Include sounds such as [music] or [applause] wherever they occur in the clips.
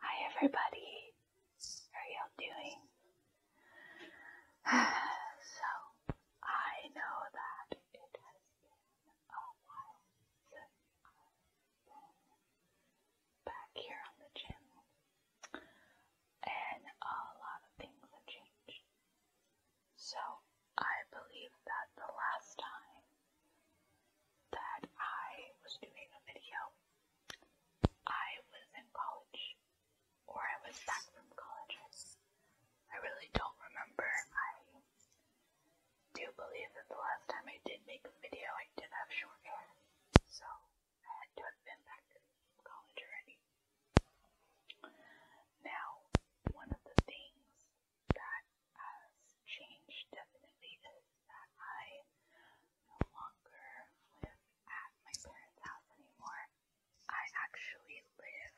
Hi, everybody. How y'all doing? [sighs] so, I know that it has been a while since I've been back here on the channel, and a lot of things have changed. So, I believe that the last time that I was doing a video. I was in college, or I was back from college. I really don't remember. I do believe that the last time I did make a video, I did have short hair, so I had to have been back from college already. Now, one of the things that has changed definitely is that I no longer live at my parents' house anymore. I actually live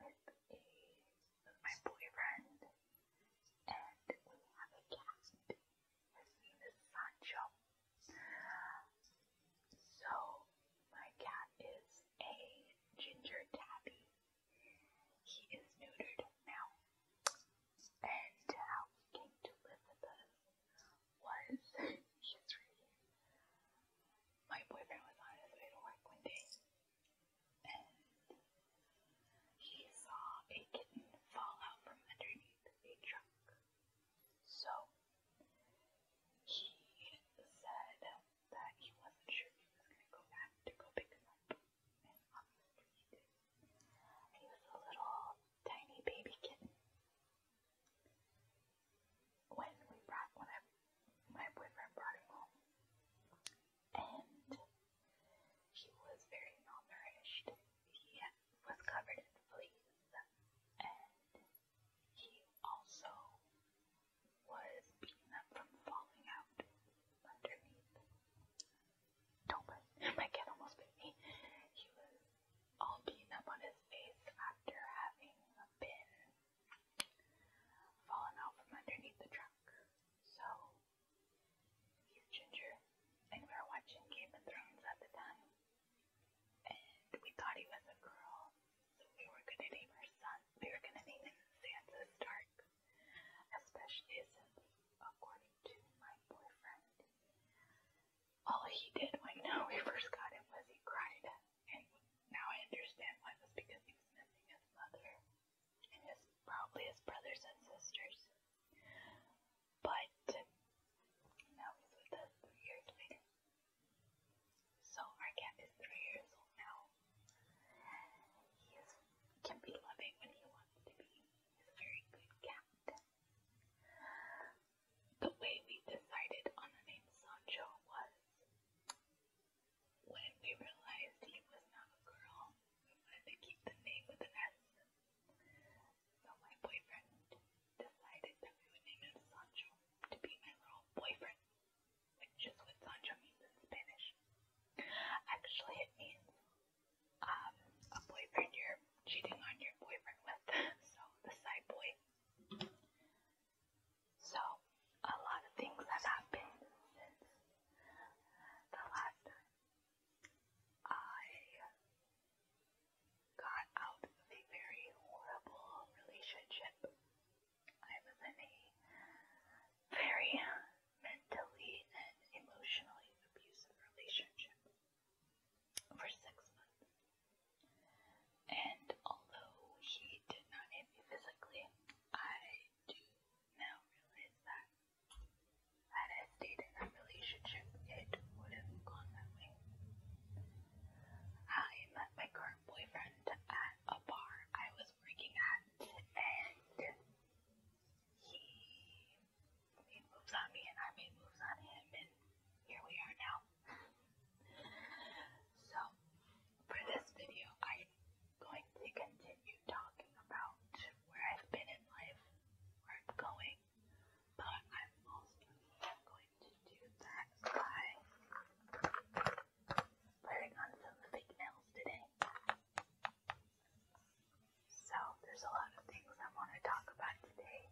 with a with my boyfriend and we have a cat. His name is Sancho. So my cat is a ginger tabby. He is neutered now. And uh, how he came to live with us was [laughs] he's My boyfriend was on his way to work one day and he saw a kitten fall out from underneath a truck. So he said that he wasn't sure he was gonna go back to go pick him up. He was a little tiny baby kitten. When we brought when I my boyfriend brought him home and he was very malnourished. He was covered in fleas and he also was beaten up from falling out underneath. Don't put [laughs] my cat almost bit me. He was all beaten up on his face after having been fallen out from underneath the truck. So he's ginger, and we were watching Game of Thrones at the time, and we thought he was a girl, so we were gonna name her son. We were gonna name him Sansa Stark especially since, according to my boyfriend, all he did when [laughs] now we first got it was he cried. And now I understand why it was because he was missing his mother and his probably his brothers and sisters. But now he's with us three years later. So our cat is three years old now. He is, can be loving when he wants wants a very good captain. The way we decided on the name Sancho was when we realized he was not a girl, we wanted to keep the name with an S. So my boyfriend decided that we would name him Sancho to be my little boyfriend, which is what Sancho means in Spanish. Actually, it means um, a boyfriend you're cheating on your boyfriend with, [laughs] so the side boy. So, a lot of things have happened since the last time I got out of a very horrible relationship. I was in a very mentally and emotionally abusive relationship for six months. And although he did not hit me physically, I do now realize that had I stayed in that relationship, it would have gone that way. I met my current boyfriend at a bar I was working at, and he made moves on me and I move on him, and here we are now. so, for this video, I'm going to continue talking about where I've been in life, where I'm going, but I'm also going to do that by putting on some fake nails today. So there's a lot of things I want to talk about today,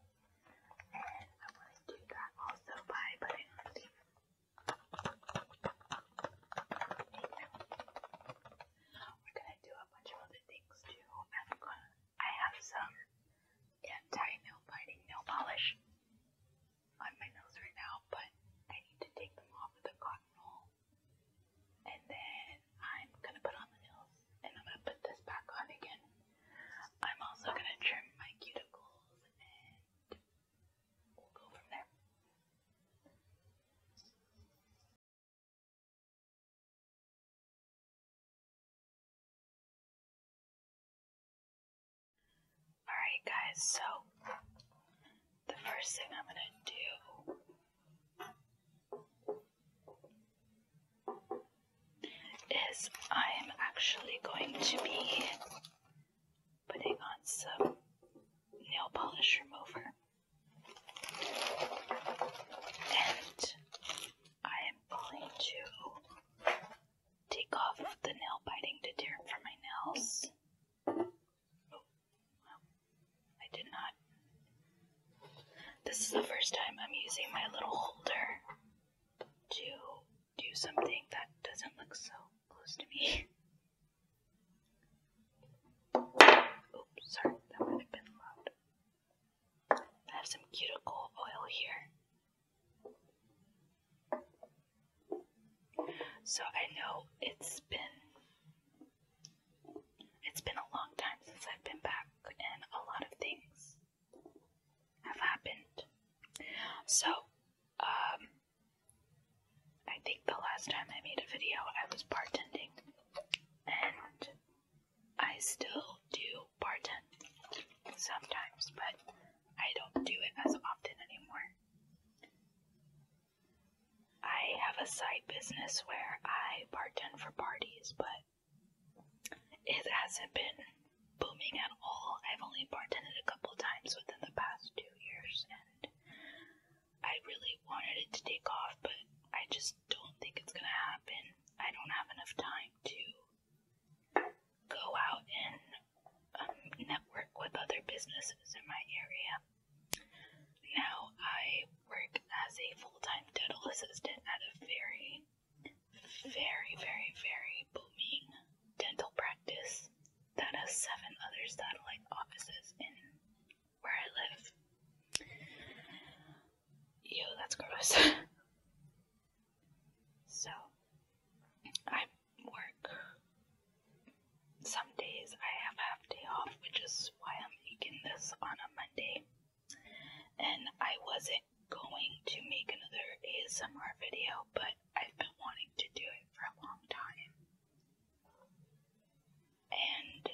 and I want to do that also by putting on the We're gonna do a bunch of other things too. I'm gonna. I have some anti-nail biting nail polish on my nose right now, but I need to take them off with a cotton roll and then I'm gonna put on the nails, and I'm gonna put this back on again. I'm also gonna trim my cuticles, and we'll go from there. Alright guys, so the first thing I'm gonna do is I am actually going to be putting on some nail polish remover. And I am going to take off the nail biting deterrent from my nails Oh, well, I did not. This is the first time I'm using my little holder to do something that doesn't look so close to me. Oops, sorry, that might have been loud. I have some cuticle oil here. So I know it's been it's been a long time since I've been back, and a lot of things have happened. So, um, I think the last time I made a video, I was bartending, and I still do bartend sometimes, but I don't do it as often anymore. I have a side business where I bartend for parties, but it hasn't been booming at all. I've only bartended a couple times within the past two years, and I really wanted it to take off, but I just don't think it's gonna happen. I don't have enough time to go out and um, network with other businesses in my area. Now I work as a full time dental assistant at a very, very, very, very booming dental practice that has seven other satellite offices in where I live. Ew, that's gross. [laughs] so I work some days I have half day off, which is why I'm making this on a Monday. And I wasn't going to make another ASMR video, but I've been wanting to do it for a long time. And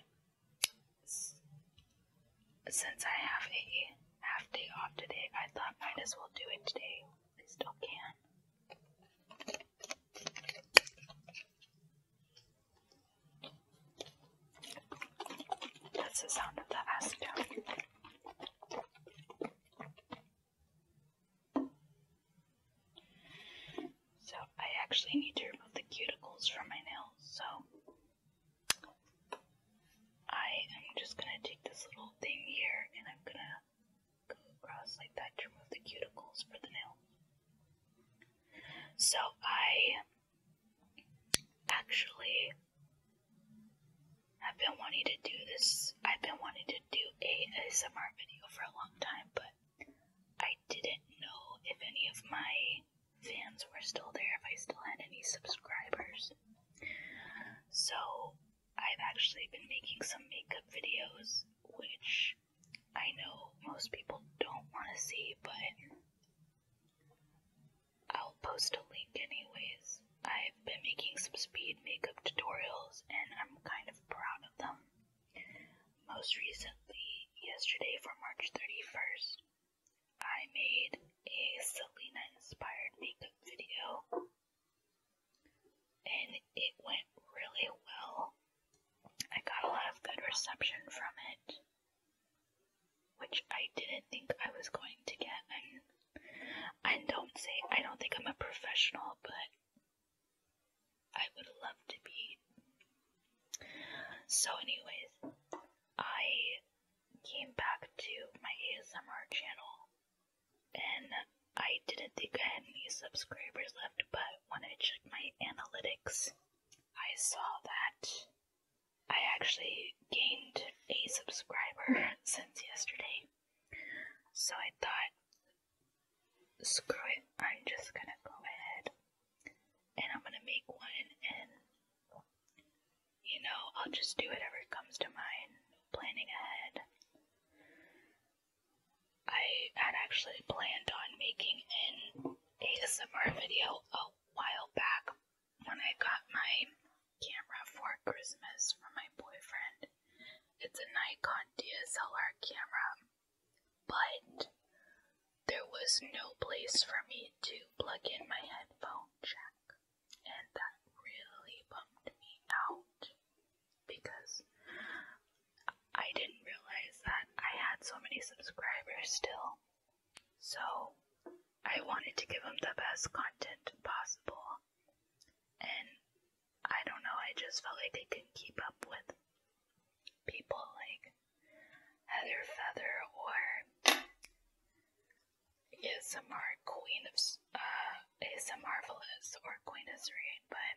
since I have a half day off today, I thought might as well do it today. I still can. not that's the sound of the acid. So I actually need to remove the cuticles from my nails, so I am just gonna take this little thing here and I'm gonna go across like that to remove the cuticles for the nail. So I actually have been wanting to do this. I've been wanting to do a ASMR video for a long time, but I didn't know if any of my fans were still there, if I still had any subscribers. So I've actually been making some makeup videos, which I know most people don't want to see, but I'll post a link anyways. I've been making some speed makeup tutorials and I'm kind of proud of them. Most recently, yesterday for March 31st, I made a Selena inspired makeup video and it went really well. I got a lot of good reception from it, which I didn't think I was going to get. And I don't say I don't think I'm a professional, but I would love to be. So, anyways, I came back to my ASMR channel and I didn't think I had any subscribers left, but when I checked my analytics, I saw that I actually gained a subscriber [laughs] since yesterday. So I thought, screw it, I'm just gonna go ahead and I'm gonna make one and you know, I'll just do whatever comes to mind, planning ahead. I had actually planned on making an ASMR video a while back when I got my camera for Christmas from my boyfriend. It's a Nikon DSLR camera, but there was no place for me to plug in my headphone jack, and that really bummed me out because I didn't realize that I had so many subscribers still. So I wanted to give them the best content possible. And I don't know, I just felt like they couldn't keep up with people like Heather Feather or ASMR Queen of uh, ASMRvelous or Queen of Serene, but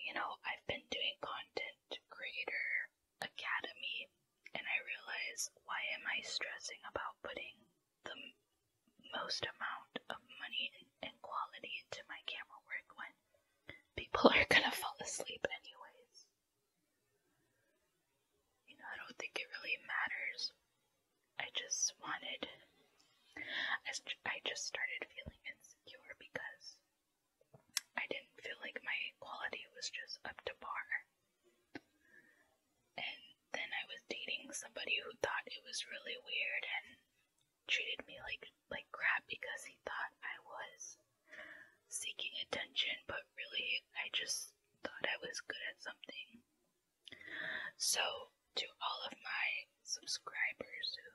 you know, I've been doing content creator academy and I realize why am I stressing about putting the most amount of money and, quality into my camera work when people [laughs] are gonna fall asleep anyways. You know, I don't think it really matters. I just wanted I, I just started feeling insecure because I didn't feel like my quality was just up to par. And then I was dating somebody who thought it was really weird and treated me like like crap because he thought I was seeking attention, but really I just thought I was good at something. So to all of my subscribers who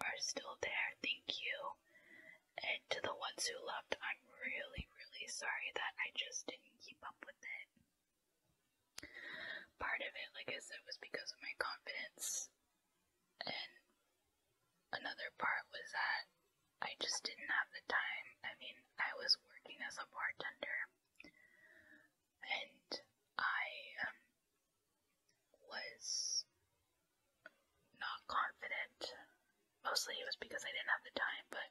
are still there, thank you. And to the ones who left, I'm really, really sorry that I just didn't keep up with it. Part of it, like I said, was because of my confidence, and another part was that I just didn't have the time. I mean, I was working as a bartender, and I um, was not confident. Mostly it was because I didn't have the time, but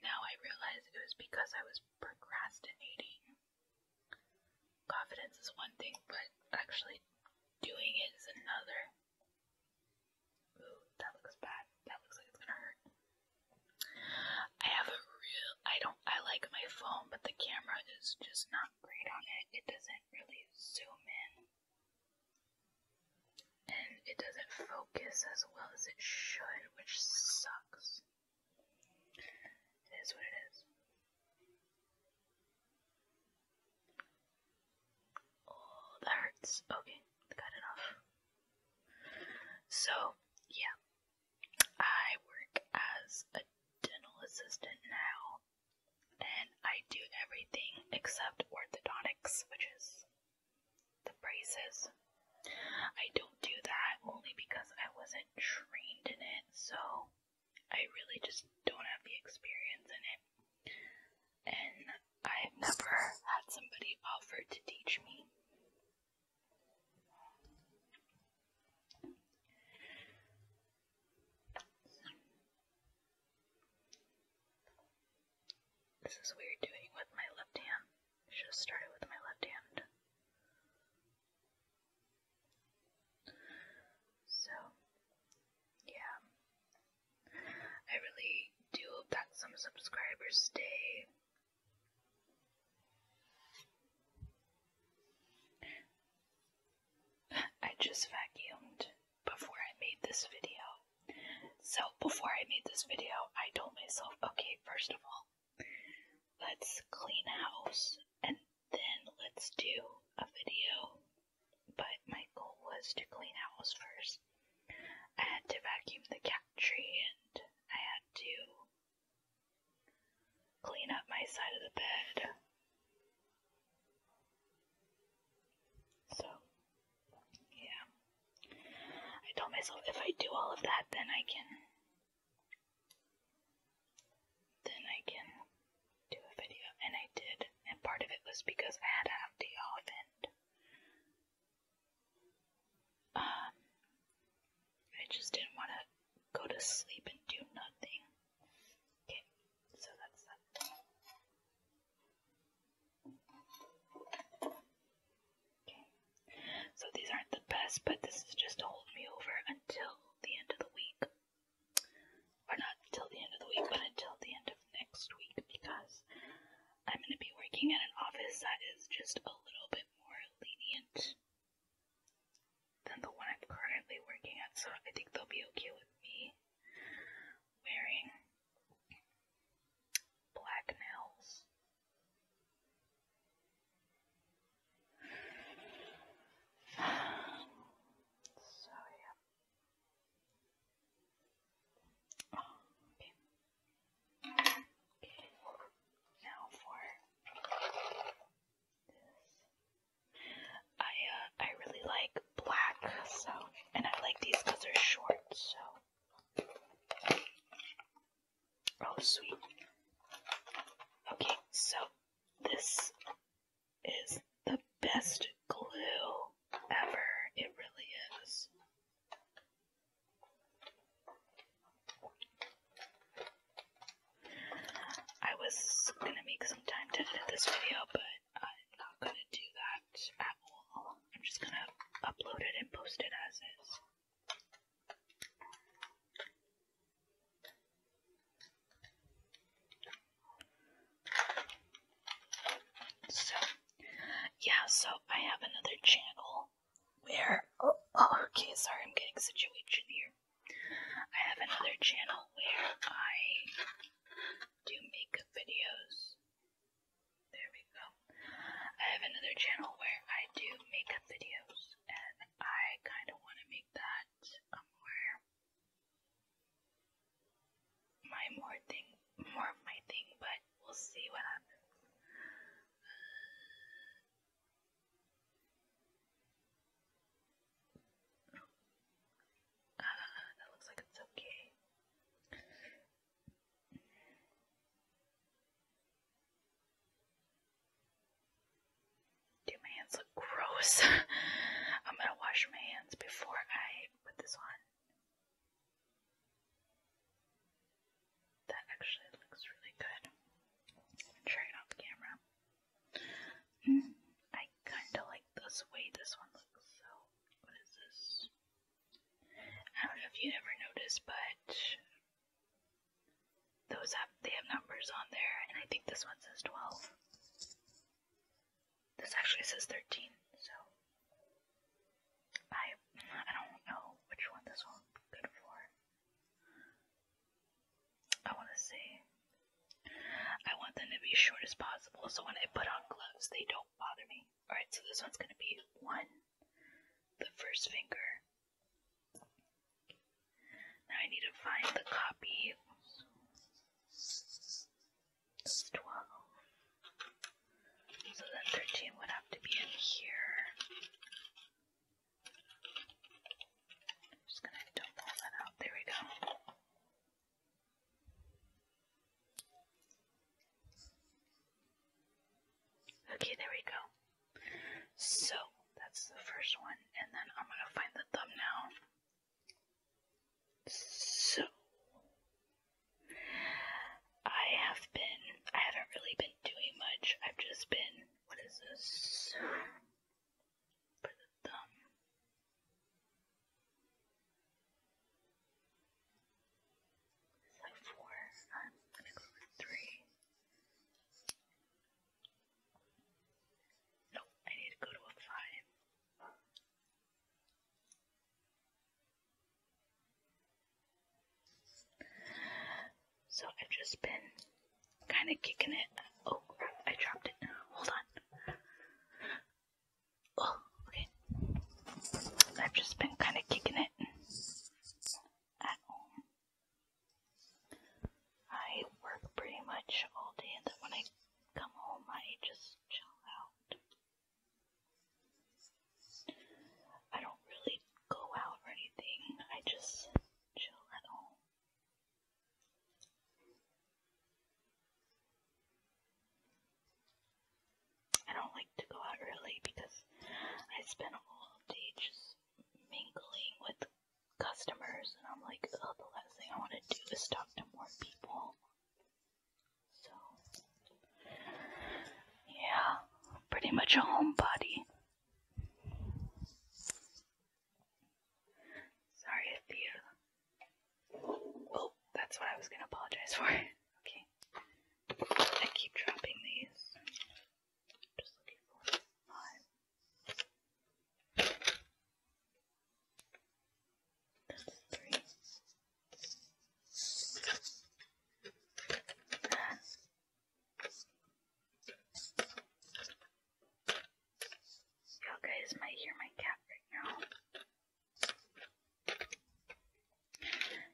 now I realize it was because I was procrastinating. Confidence is one thing, but actually doing it is another. Ooh, that looks bad. That looks like it's gonna hurt. I have a real. I don't. I like my phone, but the camera is just not great on it. It doesn't really zoom in and it doesn't focus as well as it should, which sucks. It is what it is. Oh, that hurts. Okay, got enough. So, yeah, I work as a dental assistant now. And I do everything except orthodontics, which is the braces. I don't do that only because I wasn't trained in it, so I really just don't have the experience in it. And I've never had somebody offer to teach me. This is weird doing with my left hand. I started with my left hand. So, yeah. I really do hope that some subscribers stay. [laughs] I just vacuumed before I made this video. So, before I made this video, I told myself, okay, first of all, let's clean house and then let's do a video. But my goal was to clean house first. I had to vacuum the cat tree and I had to clean up my side of the bed. So, yeah. I told myself if I do all of that, then I can. Then I can do a video. And I did. And part of it was because I had to have day off and. Um, I just didn't want to go to sleep and do nothing. Okay, so that's that. So these aren't the best, but this is just to hold me over until the end of the week. Or not until the end of the week, but until the end of next week because I'm going to be working at an office that is just a little bit more lenient than the one I'm currently working at, so I think they'll be okay with me wearing black nails. So yeah. okay. Okay. Now for this I uh, I really like black, so and I like these because they're short, so oh sweet. Okay, so this is the best glue ever. It really is. I was gonna make some time to edit this video, but I'm not gonna do that at all. I'm just gonna upload it and post it as is. So, yeah, so I have another channel where. Oh, oh, okay, sorry, I'm getting situated here. I have another channel where I do makeup videos. There we go. I have another channel where I do makeup videos, and I kind of want to make that um, my more thing, more of my thing, but we'll see what happens that looks like it's okay. Dude, my hands look gross. [laughs] I'm gonna wash my hands before I put this on. That actually looks really good. try it off camera. Mm, I kinda like this way this one looks, so what is this? I don't know if you ever noticed, but those have they have numbers on there, and I think this one says twelve. This actually says thirteen, so I I don't know which one this one's good for. I want to see. I want them to be short as possible so when I put on gloves, they don't bother me. Alright, so this one's going to be one, the first finger. Now I need to find the copy. 12. So then 13 would have to be in here. just going to dump that out. There we go. Okay, there we go. So that's the first one, and then I'm gonna find the thumbnail. So I have been, I haven't really been doing much. I've just been, what is this? So four times equals three. No, I need to go to a five. So I've just been kind of kicking it. Oh I dropped it. Hold on. Oh, okay. I've just been kind of kicking it at home. I work pretty much all day, and then when I come home, I just chill out. I don't really go out or anything, I just chill at home. I don't like to go out early because I spend all day just mingling with customers, and I'm like, the last thing I want to do is talk to more people. So, yeah, pretty much a homebody. Sorry if you Oh, that's what I was going to apologize for. [laughs] okay. I keep dropping these. Just three. Y'all guys might hear my cat right now.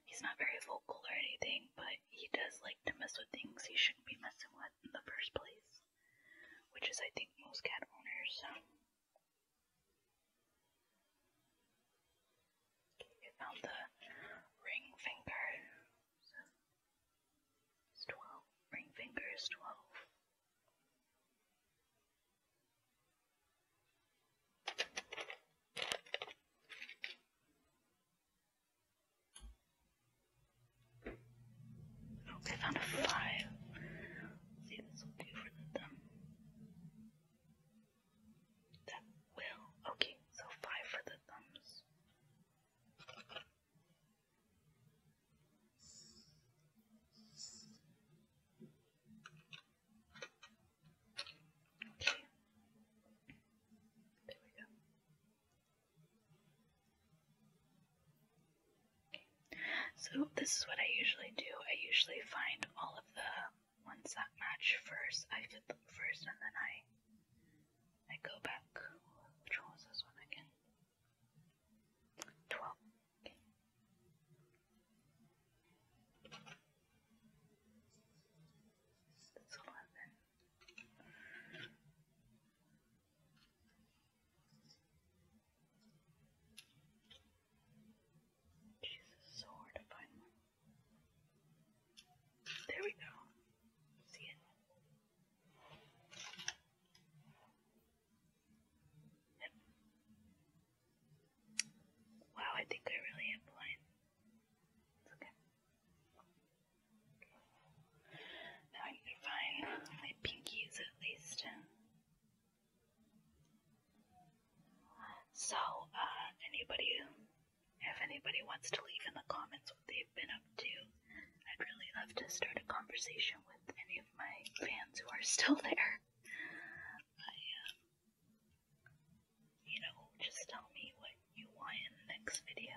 He's not very vocal or anything, but he does like to mess with things he shouldn't be messing with in the first place, which is, I think, most cat owners. Okay, the ring finger. So it's 12. Ring finger is 12. Oh, they found a file. See, this will be written them. That will. Okay, so five for the thumbs. Okay. There we go. Okay. So this is what I usually do. I usually find all of the ones that match first. I fit them first and then I I go back. Which one was this one again? Twelve. That's eleven. Jesus, so hard to find one. There we go. See it? Wow, I think I really am blind. okay. Now I can find my pinkies at least. So, uh, anybody, if anybody wants to leave in the comments what they've been up to, I'd really love to start a conversation with any of my fans who are still there. I, um, you know, just tell me what you want in the next video.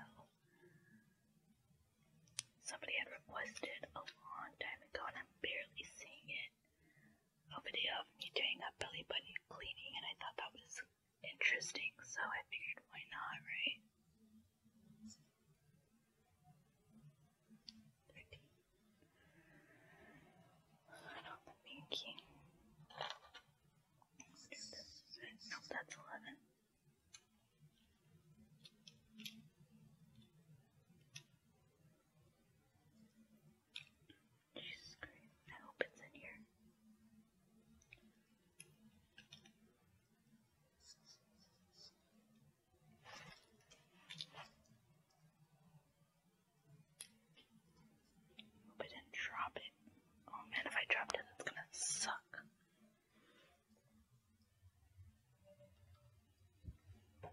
Somebody had requested a long time ago, and I'm barely seeing it, a video of me doing a belly button cleaning, and I thought that was interesting, so I figured why not, right? 13, Start on that's 11. Jesus Christ, I hope it's in here. Hope I did drop it. Oh man, if I dropped it, that's gonna suck. Uh,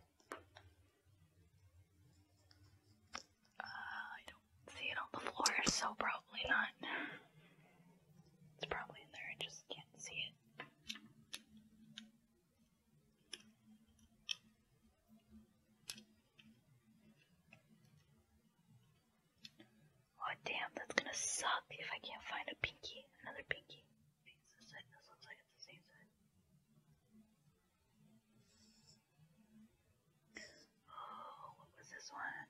I don't see it on the floor, so probably not. It's probably in there, I just can't see it. Oh damn, that's gonna suck if I can't find a pinky, another pinky. Oh, what was this one?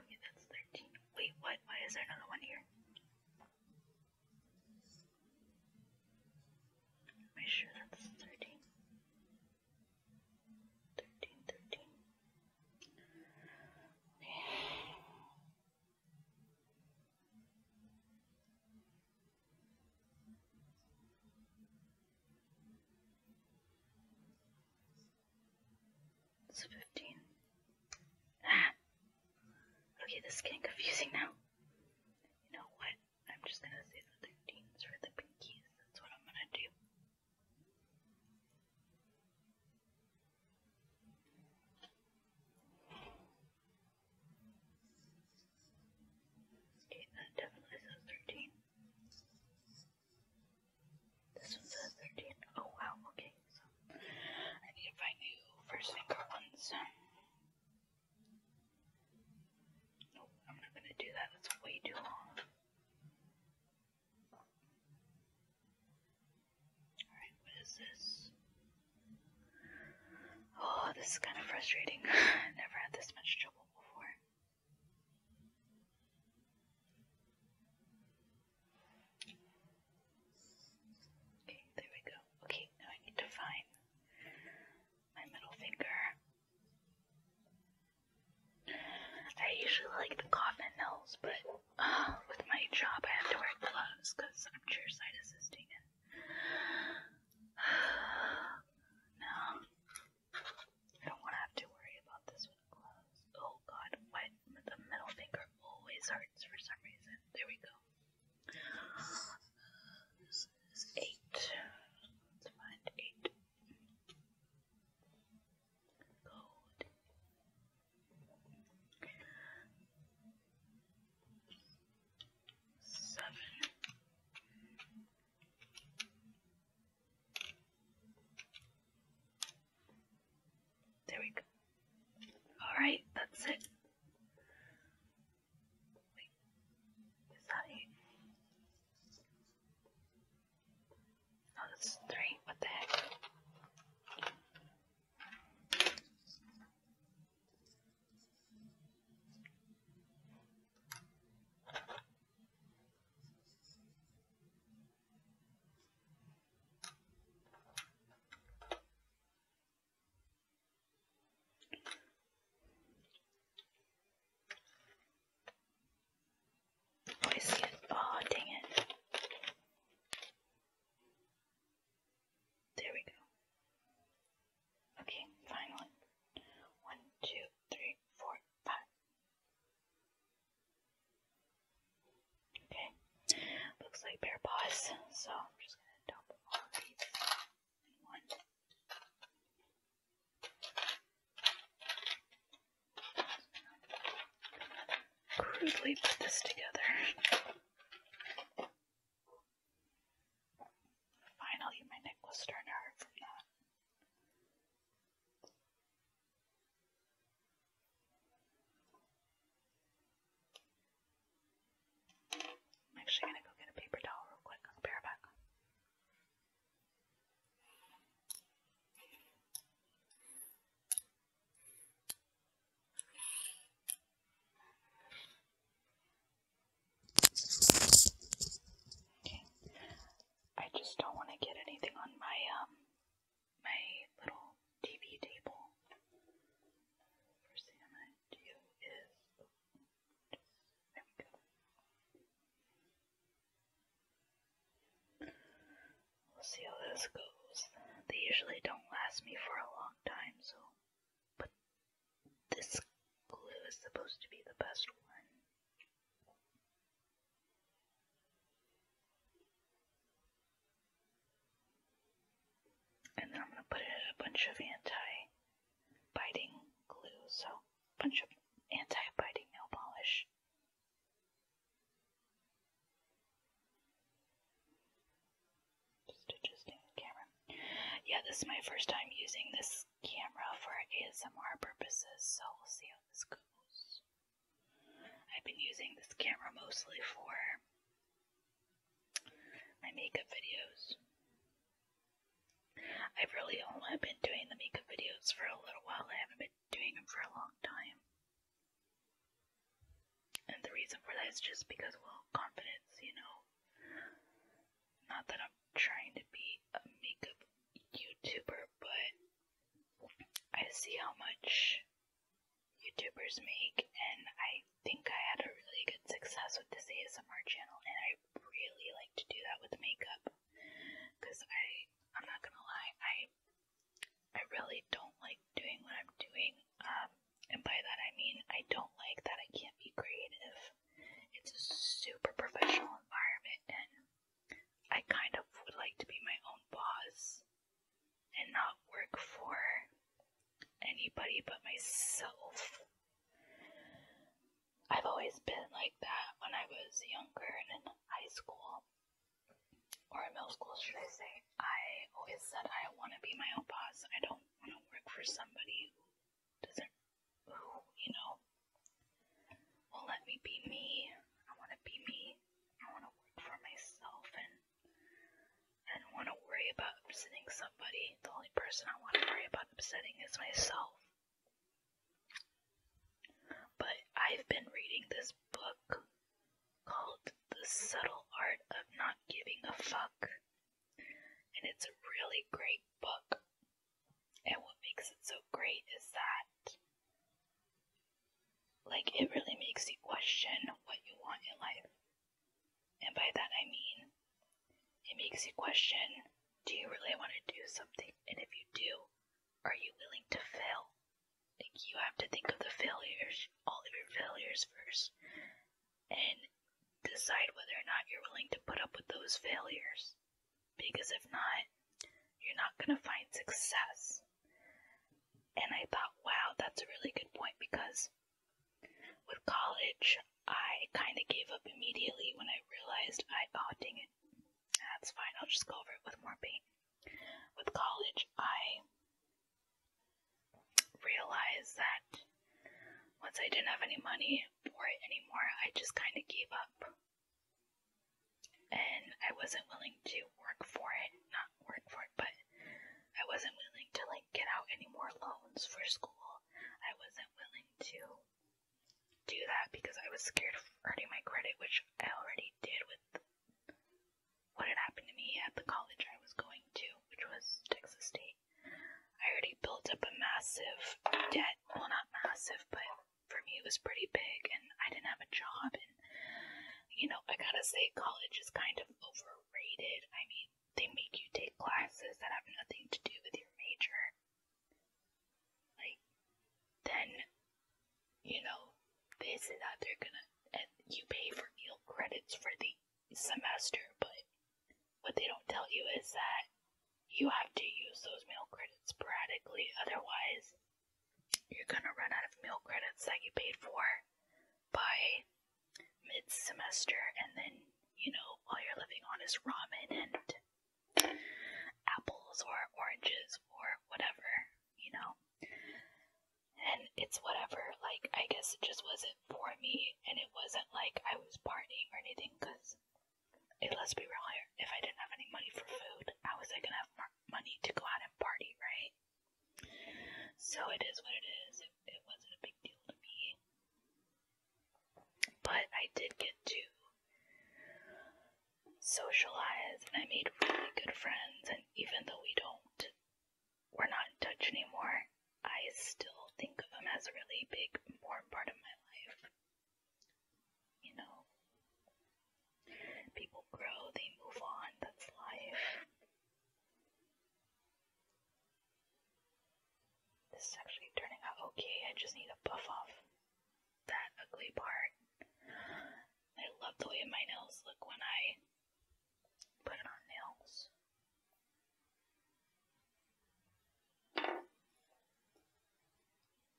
Okay, that's 13. Wait, what? Why is there another one here? Am I sure that's 13? 13, it's 15. Ah! Okay, this is getting confusing now. You know what? I'm just gonna say the 13s for the pinkies. That's what I'm gonna do. Okay, that definitely says 13. This was the 13th. Oh wow, okay. So I need to find new first finger ones. Nope, I'm not gonna do that. That's way too long. Alright, what is this? Oh, this is kind of frustrating. I [laughs] never had this much trouble before. Okay, there we go. Okay, now I need to find my middle finger. I usually like the coffin nails, but uh, with my job I have to wear gloves because I'm chairside assisting. And, uh, [sighs] no, I don't want to have to worry about this with Oh god, why the middle finger always hurts for some reason. There we go. This is eight. Let's find eight. Gold. Seven. There we go. Alright, that's it. Wait, is that eight? No, that's three. What the heck? Oh, I Oh, dang it. There we go. Okay, finally. One, two, three, four, five, Okay, looks like bear paws, so I'm just gonna Crudely put this together. Finally, my neck was starting to hurt from that. I'm actually going to go get a paper towel real quick. I'll be right back. Okay, I just don't want to get anything on my um my little TV table. First thing i do is just, there we go. We'll see how this goes. They usually don't last me for a long time, so but this glue is supposed to be the best one. And then I'm going to put in a bunch of anti-biting glue, so a bunch of anti-biting nail polish. Just adjusting the camera. Yeah, this is my first time using this camera for ASMR purposes, so we'll see how I've been using this camera mostly for my makeup videos. I've really only been doing the makeup videos for a little while. I haven't been doing them for a long time. And the reason for that is just because, well, confidence, you know. Not that I'm trying to be a makeup YouTuber, but I see how much YouTubers make, and I think I had a really good success with this ASMR channel, and I really like to do that with makeup, because I, I'm not gonna lie, I, I really don't like doing what I'm doing, um, and by that I mean I don't like that I can't be creative. It's a super professional environment, and I kind of would like to be my own boss and not work for anybody but myself. I've always been like that when I was younger and in high school, or in middle school, should I say. I always said I want to be my own boss. I don't want to work for somebody who doesn't, who, you know, well, let me be me. I want to be me. I want to work for myself and I don't want to worry about upsetting somebody. The only person I want to worry about upsetting is myself. But I've been reading this book called The Subtle Art of Not Giving a Fuck, and it's a really great book. And what makes it so great is that, like, it really makes you question what you want in life. And by that I mean, it makes you question do you really want to do something? And if you do, are you willing to fail? Like, you have to think of the failures, all of your failures first, and decide whether or not you're willing to put up with those failures because if not, you're not going to find success. And I thought, wow, that's a really good point because with college, I kind of gave up immediately when I realized I, oh, ding it, that's fine, I'll just go over it with more paint. With college, I realized that once I didn't have any money for it anymore, I just kind of gave up and I wasn't willing to work for it, not work for it, but I wasn't willing to like get out any more loans for school. I wasn't willing to do that because I was scared of hurting my credit, which I already did with what had happened to me at the college I was going to, which was Texas State. I already built up a massive debt. Well, not massive, but for me was pretty big, and I didn't have a job. And you know, I gotta say, college is kind of overrated. I mean, they make you take classes that have nothing to do with your major. Like, then, you know, this and that. They're gonna, and you pay for meal credits for the semester, but what they don't tell you is that you have to use those meal credits sporadically, otherwise you're gonna run out of meal credits that you paid for by mid semester, and then, you know, all you're living on is ramen and apples or oranges or whatever, you know. And it's whatever, like, I guess it just wasn't for me, and it wasn't like I was partying or anything, because Hey, let's be real here. If I didn't have any money for food, how was I gonna have money to go out and party, right? So it is what it is. It, it wasn't a big deal to me. But I did get to socialize and I made really good friends. And even though we don't, we're not in touch anymore, I still think of them as a really big, important part of my life you know, people grow, they move on, that's life. This is actually turning out okay, I just need to buff off that ugly part. I love the way my nails look when I put on nails.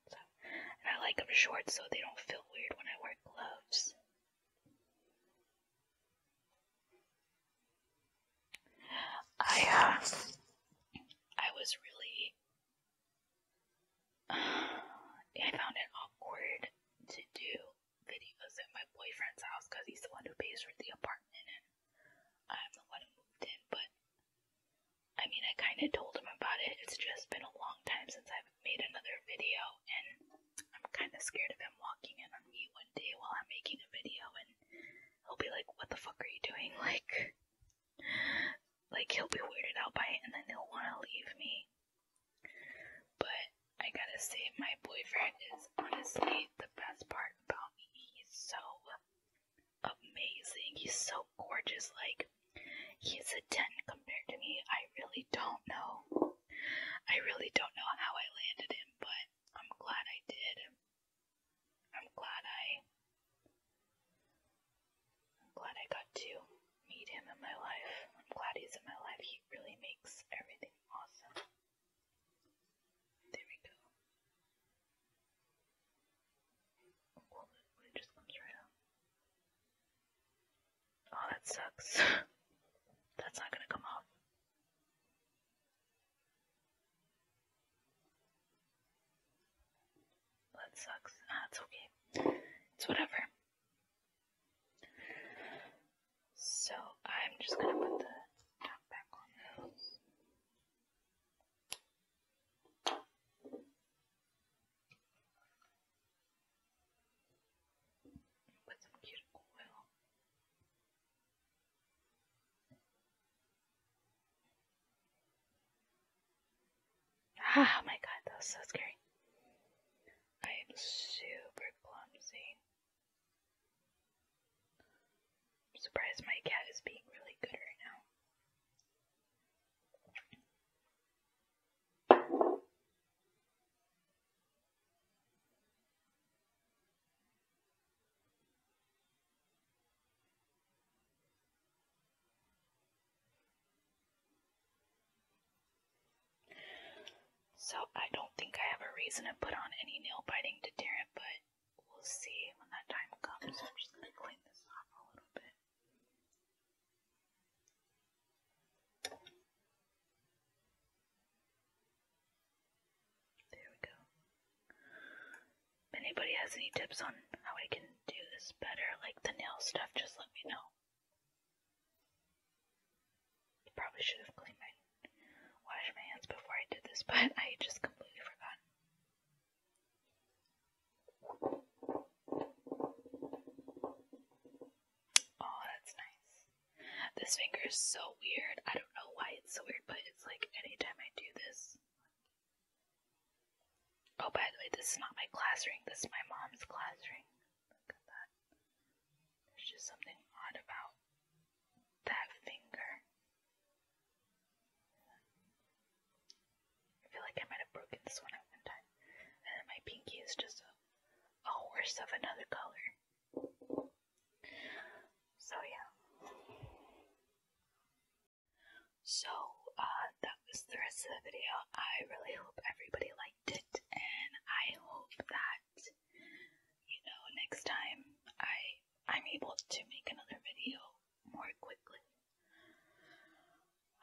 So, and I like them short so they don't feel weird when I wear gloves. I uh, I was really [sighs] I found it awkward to do videos at my boyfriend's house because he's the one who pays for the apartment and I'm the one who moved in. But I mean, I kind of told him about it. It's just been a long time since I've made another video, and I'm kind of scared of him walking in on me one day while I'm making a video, and he'll be like, "What the fuck are you doing?" [laughs] Like, like he'll be weirded out by it, and then he'll want to leave me. But I gotta say, my boyfriend is honestly the best part about me. He's so amazing. He's so gorgeous. Like, He's a 10 compared to me. I really don't know. I really don't know how I landed him, but I'm glad I did. I'm glad I. I'm glad I got to meet him in my life. I'm glad he's in my life. He really makes everything awesome. There we go. Well, it just comes right up. Oh, that sucks. [laughs] That's not gonna come off. That sucks. Ah, it's okay. It's whatever. So I'm just gonna put the top back on those. Ah, oh my god, that was so scary. I am super clumsy. I'm surprised my cat is being really good right now. So I don't think I have a reason to put on any nail biting to deterrent, but we'll see when that time comes. I'm just gonna clean this off a little bit. There we go. If anybody has any tips on how I can do this better, like the nail stuff, just let me know. I probably should have cleaned my, washed my hands before I did this, [laughs] but I just completely forgot. Oh, that's nice. This finger is so weird. I don't know why it's so weird, but it's like any time I do this. Oh, by the way, this is not my class ring. This is my mom's class ring. Look at that. There's just something odd about that finger. I feel like I might have broken this one at one time. And then my pinky is just a, a horse of another color. So, yeah. So, uh, that was the rest of the video. I really hope everybody liked it, and I hope that, you know, next time I, I'm able to make another video more quickly.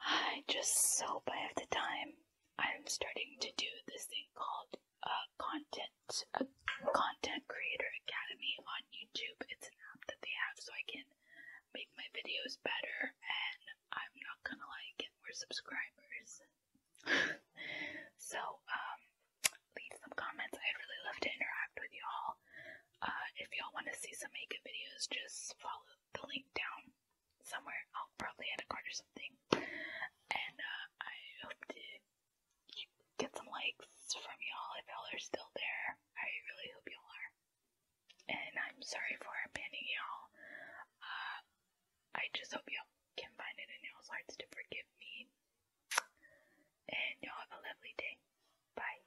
I just hope I have the time. I'm starting to do this thing called uh, content a uh, content creator academy on YouTube. It's an app that they have so I can make my videos better and I'm not gonna like get more subscribers. [laughs] so um, leave some comments. I'd really love to interact with y'all. Uh, if y'all want to see some makeup videos just follow the link down somewhere. I'll probably at a card or something. And uh, I hope to get some likes from y'all if y'all are still there. I really hope y'all are. And I'm sorry for abandoning y'all. Uh, I just hope y'all can find it in y'all's hearts to forgive me. And y'all have a lovely day. Bye.